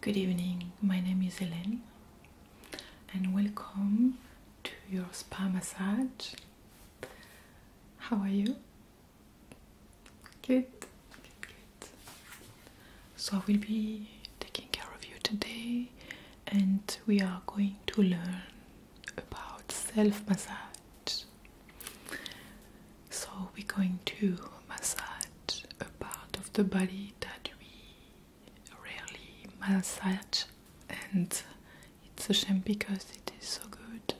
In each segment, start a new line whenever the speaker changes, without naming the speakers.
Good evening, my name is Hélène and welcome to your spa massage. How are you? Good, So I will be taking care of you today, and we are going to learn about self massage. So we're going to massage a part of the body that we rarely massage, and it's a shame because it is so good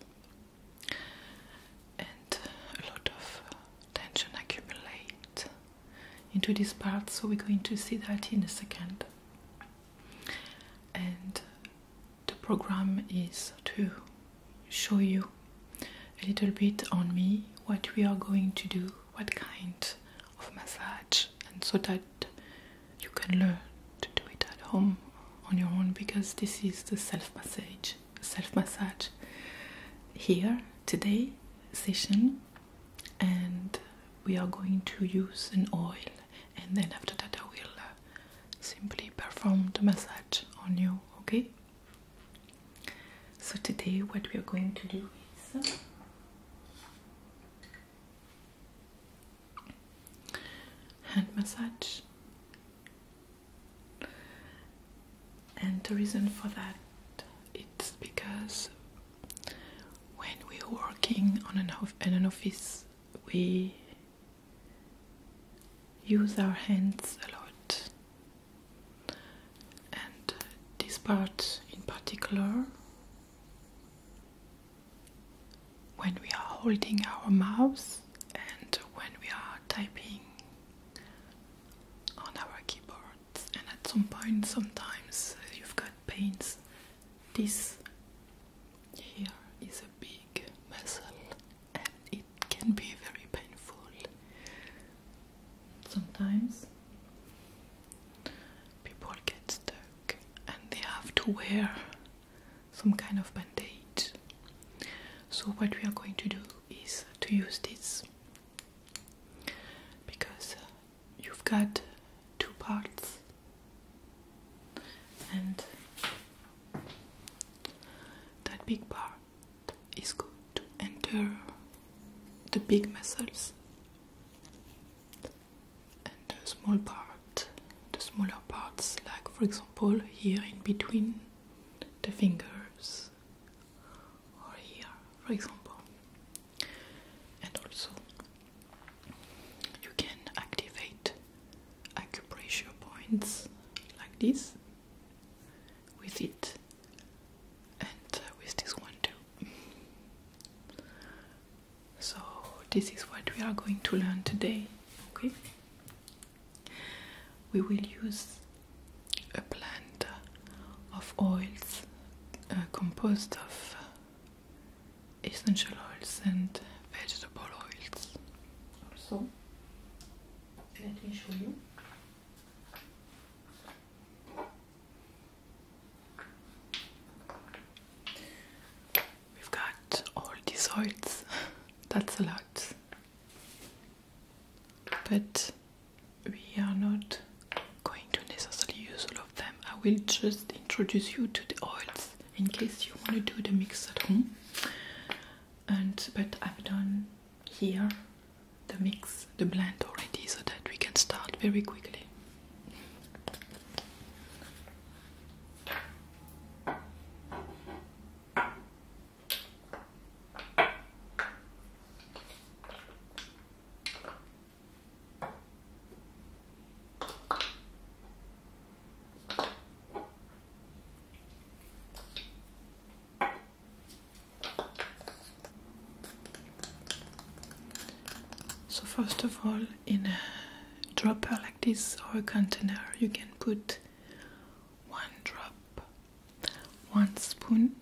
and a lot of uh, tension accumulate into this part so we're going to see that in a second and the program is to show you a little bit on me what we are going to do what kind of massage and so that you can learn to do it at home on your own because this is the self massage self massage here today session and we are going to use an oil and then after that I will uh, simply perform the massage on you okay so today what we are going to do is hand massage and the reason for that it's because when we're working on an, in an office, we use our hands a lot, and this part in particular when we are holding our mouse and when we are typing on our keyboards and at some point sometimes you've got pains this here is a big muscle and it can be very painful sometimes people get stuck and they have to wear some kind of bandage. So, what we are going to do is to use this because uh, you've got two parts and that big part is going to enter the big muscles and the small part the smaller parts like for example example, here in between the fingers, or here, for example. And also, you can activate acupressure points like this with it and uh, with this one too. So, this is what we are going to learn today. Okay, we will use a blend of oils uh, composed of essential oils and vegetable oils. Also, let me show you. We've got all these oils. That's a lot but we are not going to necessarily use all of them. I will just introduce you to the oils in case you want to do the mix at home. And but I've done here the mix, the blend already, so that we can start very quickly. So first of all, in a dropper like this or a container, you can put one drop, one spoon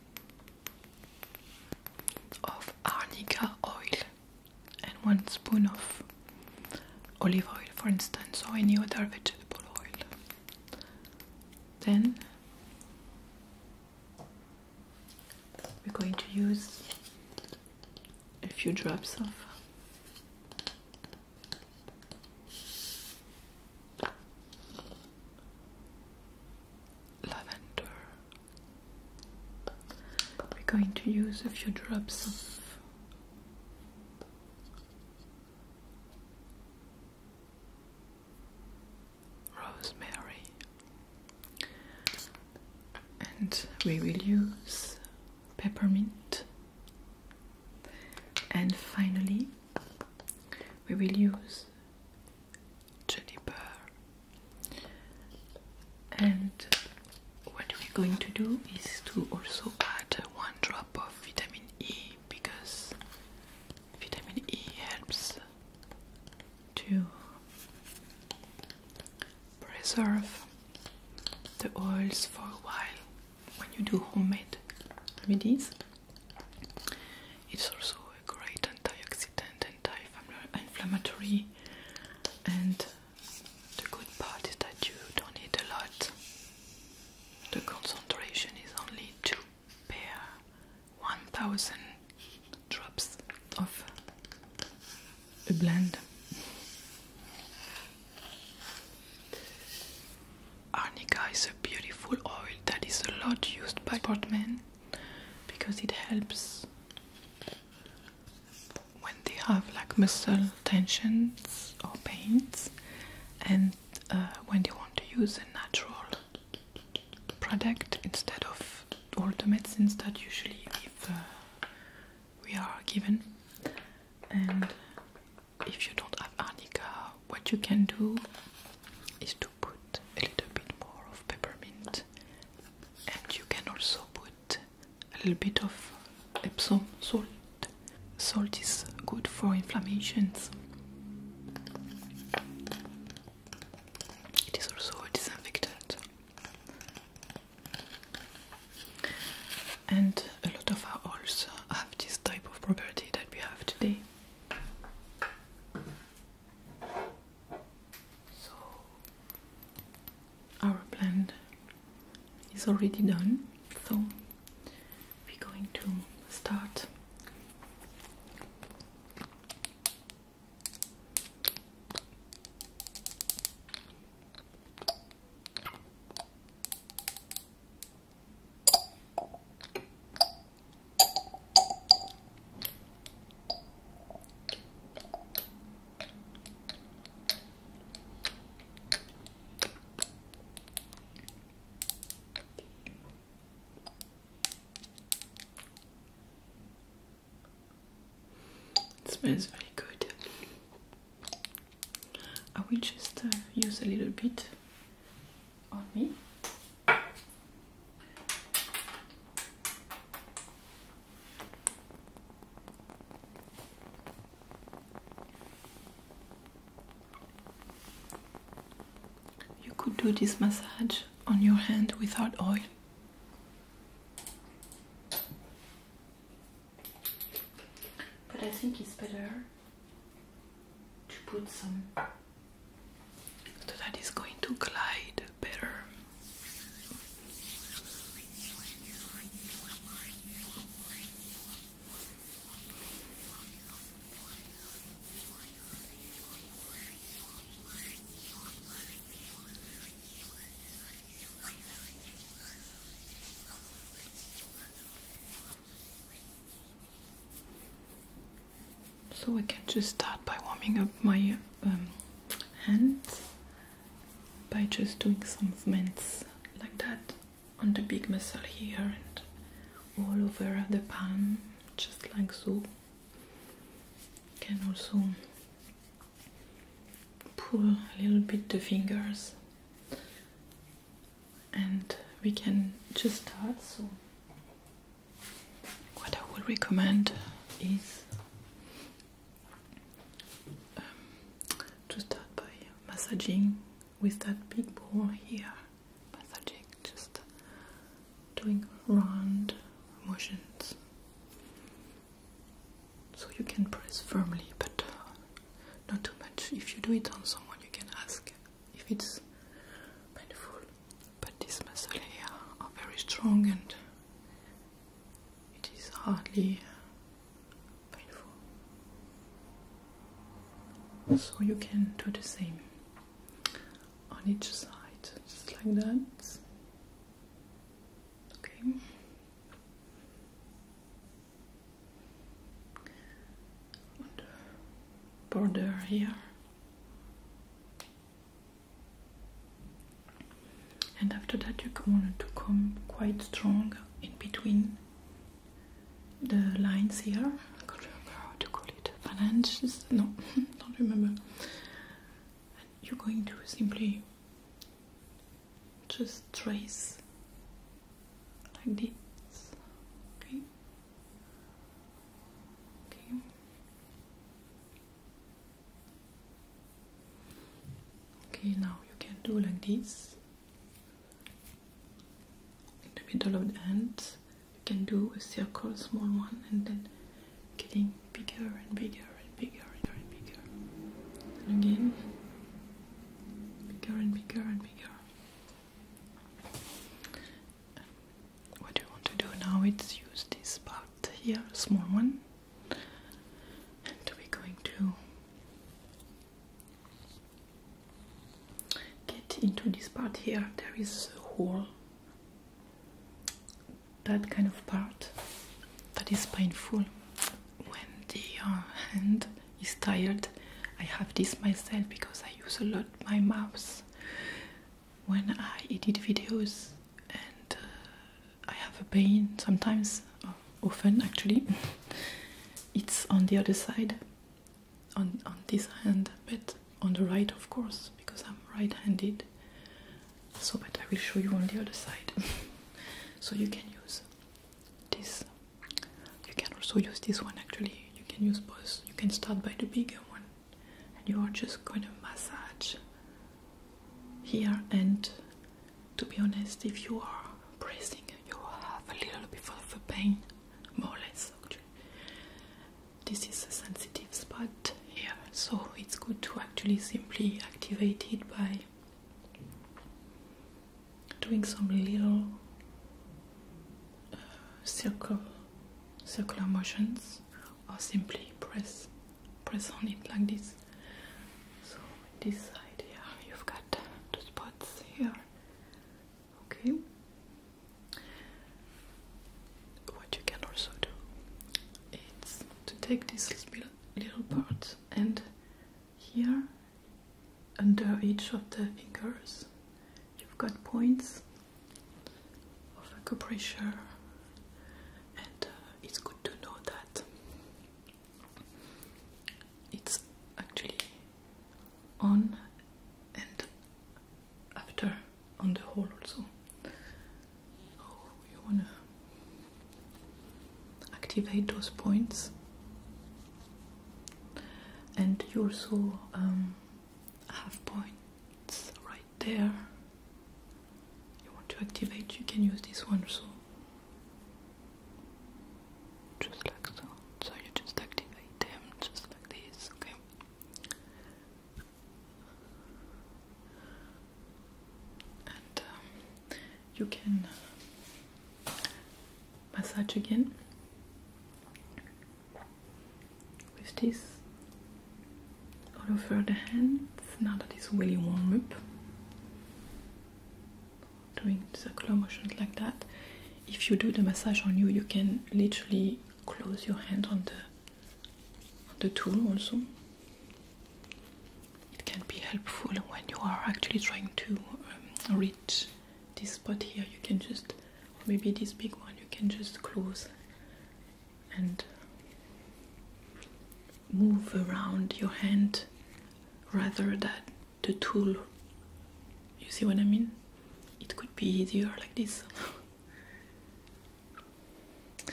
of arnica oil and one spoon of olive oil, for instance, or any other vegetable oil. Then we're going to use a few drops of lavender. We're going to use a few drops of rosemary, and we will use peppermint and finally we will use juniper and what we're going to do is to also add one drop of vitamin E because vitamin E helps to preserve the oils for a while when you do homemade remedies. It's also a great antioxidant, anti-inflammatory, and the good part is that you don't need a lot. The concentration is only two per 1000 drops of a blend. Arnica is a beautiful oil that is a lot used by portmen because it helps when they have like muscle tensions or pains and uh, when they want to use a natural product instead of all the medicines that usually we uh, are given and if you don't have arnica, what you can do is to put a little bit more of peppermint, and you can also put a little bit of Epsom salt. Salt is good for inflammations. It is also a disinfectant and a lot of our also have this type of property that we have today. So our blend is already done, so we're going to start. It smells very good. I will just uh, use a little bit on me. You could do this massage on your hand without oil. But I think it's better to put some so that is going to glide better. So I can just start by warming up my um, hands by just doing some movements like that on the big muscle here and all over the palm, just like so. Can also pull a little bit the fingers and we can just start. So, what I would recommend is um, to start by massaging with that big ball here. Massaging, just doing round motions. So you can press firmly, but not too much. If you do it on someone, you can ask if it's painful. But these muscles here are very strong and it is hardly painful. So you can do the same on each side, just like that. Okay border here and after that you want to come quite strong in between the lines here I can't remember how to call it Finances? no don't remember and you're going to simply just trace like this. Okay. Okay. Okay, now you can do like this in the middle of the hand. You can do a circle, small one, and then getting bigger and bigger and bigger and bigger and again, bigger and bigger and bigger. What you want to do now is use this part here, small one, and we're going to get into this part here. There is a hole, that kind of part that is painful when the uh, hand is tired. I have this myself because I use a lot my mouse when I edit videos, and uh, I have a pain sometimes, uh, often actually. it's on the other side, on this hand, but on the right, of course, because I'm right-handed. So, but I will show you on the other side, so you can use this you can also use this one actually, you can use both. You can start by the bigger one and you are just going to massage here. And to be honest, if you are pressing, you will have a little bit of a pain, more or less. This is a sensitive spot here, so it's good to actually simply activate it by doing some little uh, circle circular motions or simply press press on it like this so this side here you've got two spots here okay what you can also do is to take this little part and here under each of the fingers you've got points of acupressure and uh, it's good to know that it's actually on and after on the whole also oh you want to activate those points and you also um, have points right there. You want to activate, you can use this one so just like so. So you just activate them just like this, okay? And um, you can massage again with this all over the hands now that it's really warm up doing circular motions like that if you do the massage on you you can literally close your hand on the the tool also it can be helpful when you are actually trying to um, reach this spot here you can just maybe this big one you can just close and move around your hand rather than the tool you see what I mean it could be easier like this and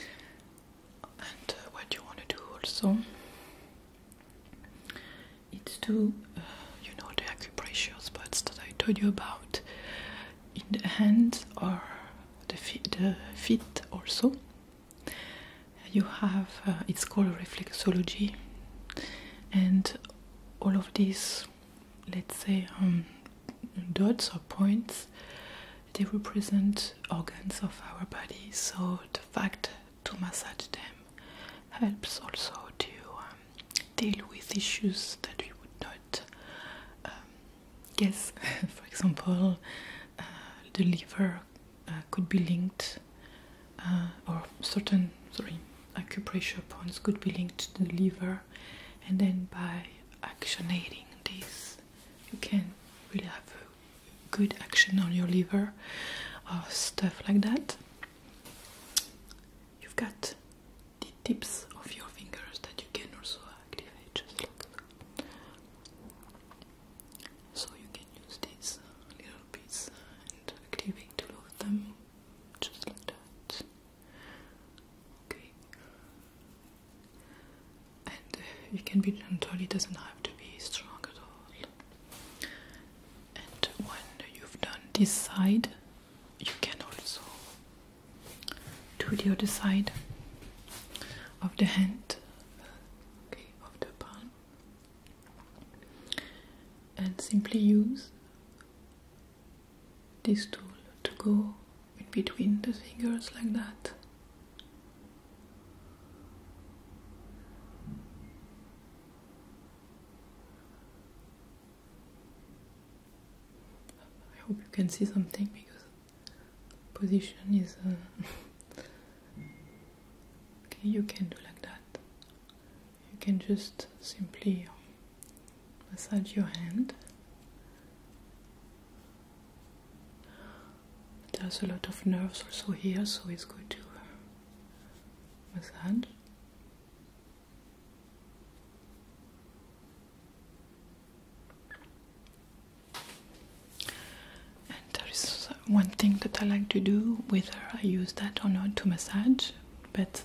uh, what you want to do also it's to uh, you know the acupressure spots that I told you about in the hands or the feet, the feet also. You have uh, it's called reflexology, and all of these, let's say, um, dots or points, they represent organs of our body. So the fact to massage them helps also to um, deal with issues that we would not um, guess. For example, uh, the liver uh, could be linked, uh, or certain sorry acupressure points could be linked to the liver, and then by actionating this, you can really have a good action on your liver, or stuff like that you've got the tips of your fingers that you can also activate just look. that. So you can use this little piece and activate all of them just like that. Okay. And uh, you can be gentle, it doesn't have to be strong at all and when you've done this side you can also do the other side of the hand okay, of the palm and simply use this tool to go in between the fingers like that I hope you can see something because position is. Uh, okay, you can do like that. You can just simply massage your hand. There's a lot of nerves also here, so it's good to uh, massage. And there is one thing that I like to do, whether I use that or not, to massage, but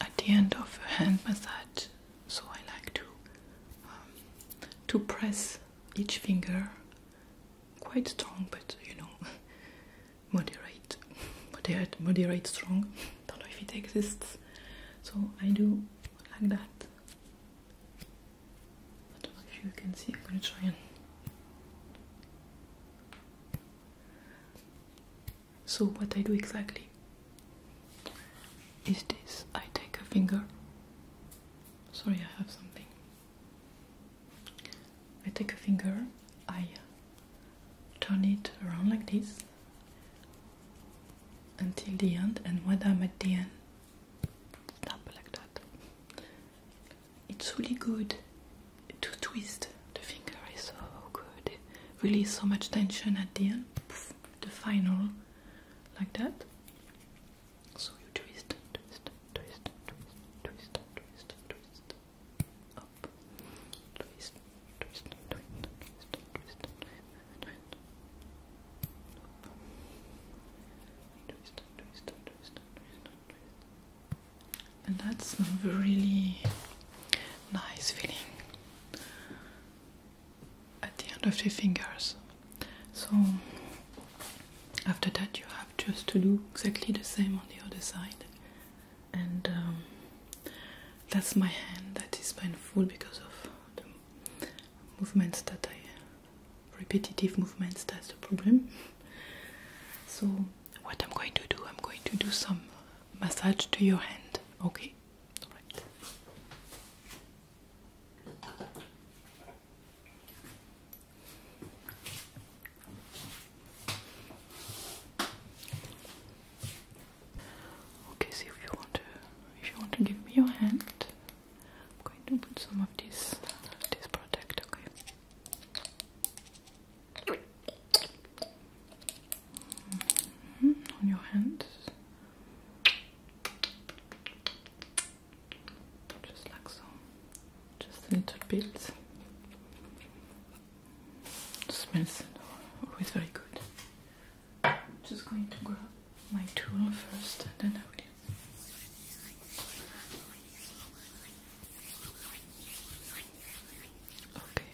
at the end of a hand massage, so I like to um, to press each finger quite strong, but you know, moderate, moderate, moderate strong. Don't know if it exists. So I do like that. I don't know if you can see. I'm gonna try and. So what I do exactly is this: I take a finger. Sorry, I have something. I take a finger, I turn it around like this until the end, and when I'm at the end, tap like that. It's really good to twist the finger, is so good. Release so much tension at the end, the final, like that. So you twist, twist, twist, twist, twist, twist, twist, up, twist, twist, twist, twist, twist, twist, twist, up. twist, twist, twist, twist, twist, and that's a really nice feeling at the end of the fingers. So after that, you have just to do exactly the same on the other side, and um, that's my hand that is painful because of the movements that I repetitive movements. That's the problem. So, what I'm going to do, I'm going to do some massage to your hand, okay? All right. Okay, so if you want to, if you want to give me your hand, I'm going to put some of this, this product. Okay. Mm-hmm, on your hands just like so, just a little bit. smells always very good. Just going to grab my tool first, and then I will. Okay.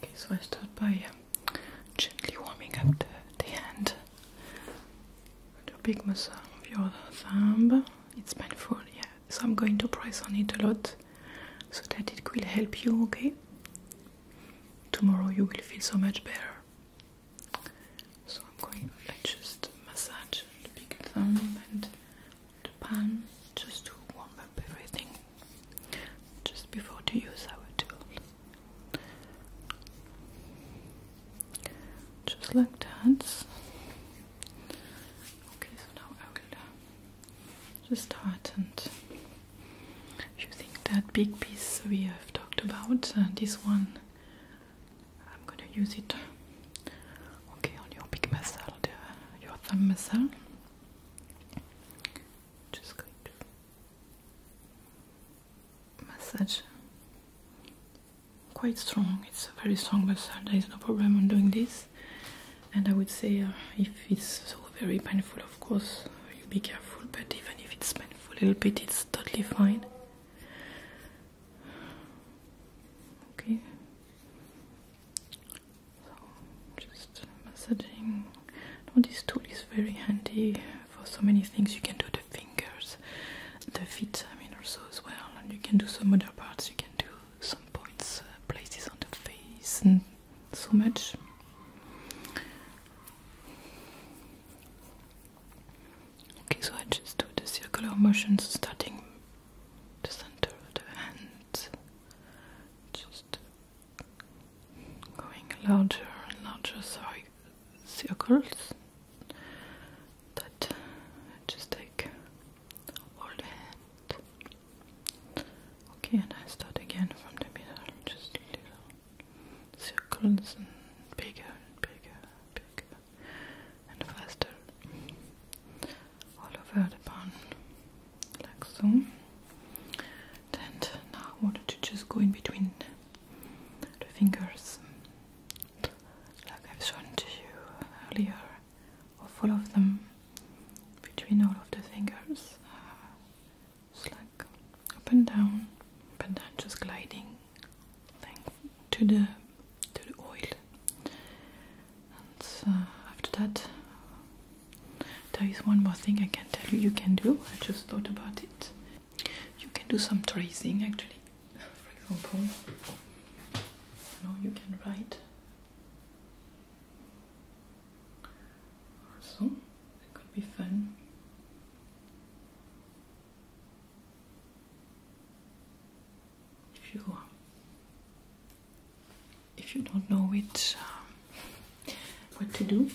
Okay, so I start by um, gently warming up the, the hand. the big muscle of your thumb. It's painful, yeah. So I'm going to press on it a lot so that it will help you, okay? Tomorrow you will feel so much better. So I'm going to just massage the big thumb and the pan just to warm up everything just before to use our tool. Just like that. Okay, so now I will uh, just start and if you think that big piece we have talked about, uh, this one I'm gonna use it okay on your big muscle, your thumb muscle. Just going to massage quite strong. It's a very strong muscle. There is no problem on doing this. And I would say uh, if it's so very painful, of course you be careful. But even if it's painful a little bit, it's totally fine. Okay. So just massaging. this tool is very handy for so many things. You can do the fingers, the feet. I mean, also as well, and you can do some other parts. You can do some points, uh, places on the face, and so much. Okay, so I just do the circular motions starting the center of the hand, just going larger and larger circles that just take all hand. Okay, and I start again from the middle, just little circles and bigger and bigger and bigger and faster all over the pan, like so. And now I want to just go in between the fingers, like I've shown to you earlier, of all of them, between all of the fingers, uh, just like up and down, up and down, just gliding to the to the oil and uh, after that there is one more thing I can tell you you can do I just thought about it you can do some tracing actually for example you know you can write also it could be fun if you um, if you don't know which um, what to do,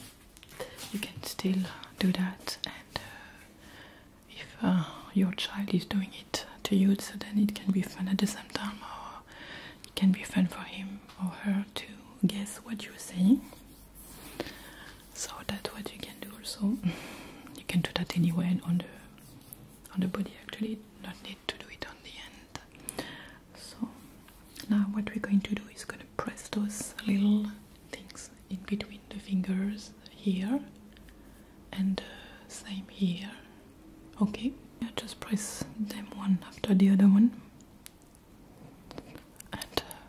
you can still uh, do that. And uh, if uh, your child is doing it to you, so then it can be fun at the same time, or it can be fun for him or her to guess what you're saying. So that's what you can do. Also, you can do that anywhere on the on the body actually not need to do it on the end so now what we're going to do is going to press those little things in between the fingers here and uh, same here okay just press them one after the other one and uh,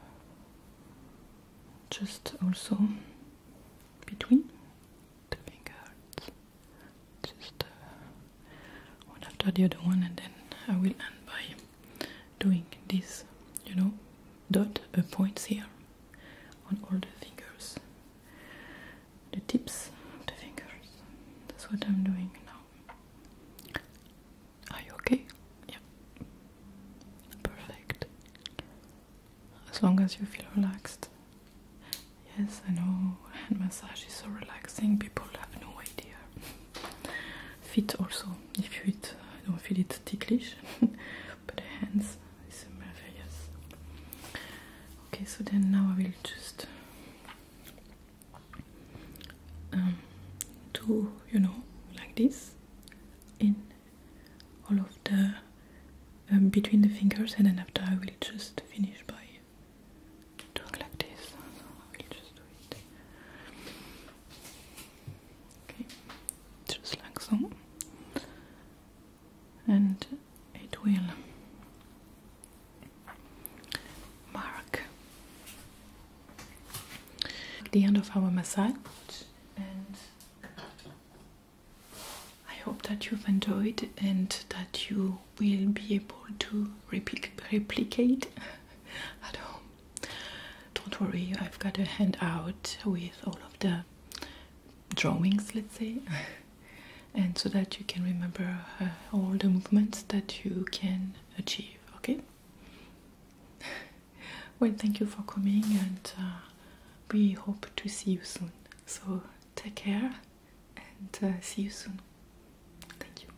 just also between living arts. Just uh, one after the other one, and then I will end by doing this, you know, dot uh, points here on all the fingers, the tips of the fingers. That's what I'm doing now. Are you okay? Yeah. Perfect as long as you feel relaxed. Yes, I know hand massage is so relaxing, people have no idea. Feet also, if you eat, I don't feel it ticklish, but hands is marvelous. Okay, so then now I will just um, do you know like this in all of the um, between the fingers and then after I will just finish by doing like this. Okay, just like so. And it will mark the end of our massage I hope that you've enjoyed and that you will be able to replicate at home. Don't worry, I've got a handout with all of the drawings, let's say, and so that you can remember uh, all the movements that you can achieve, okay? well, thank you for coming, and uh, we hope to see you soon. So, take care and uh, see you soon. Thank you.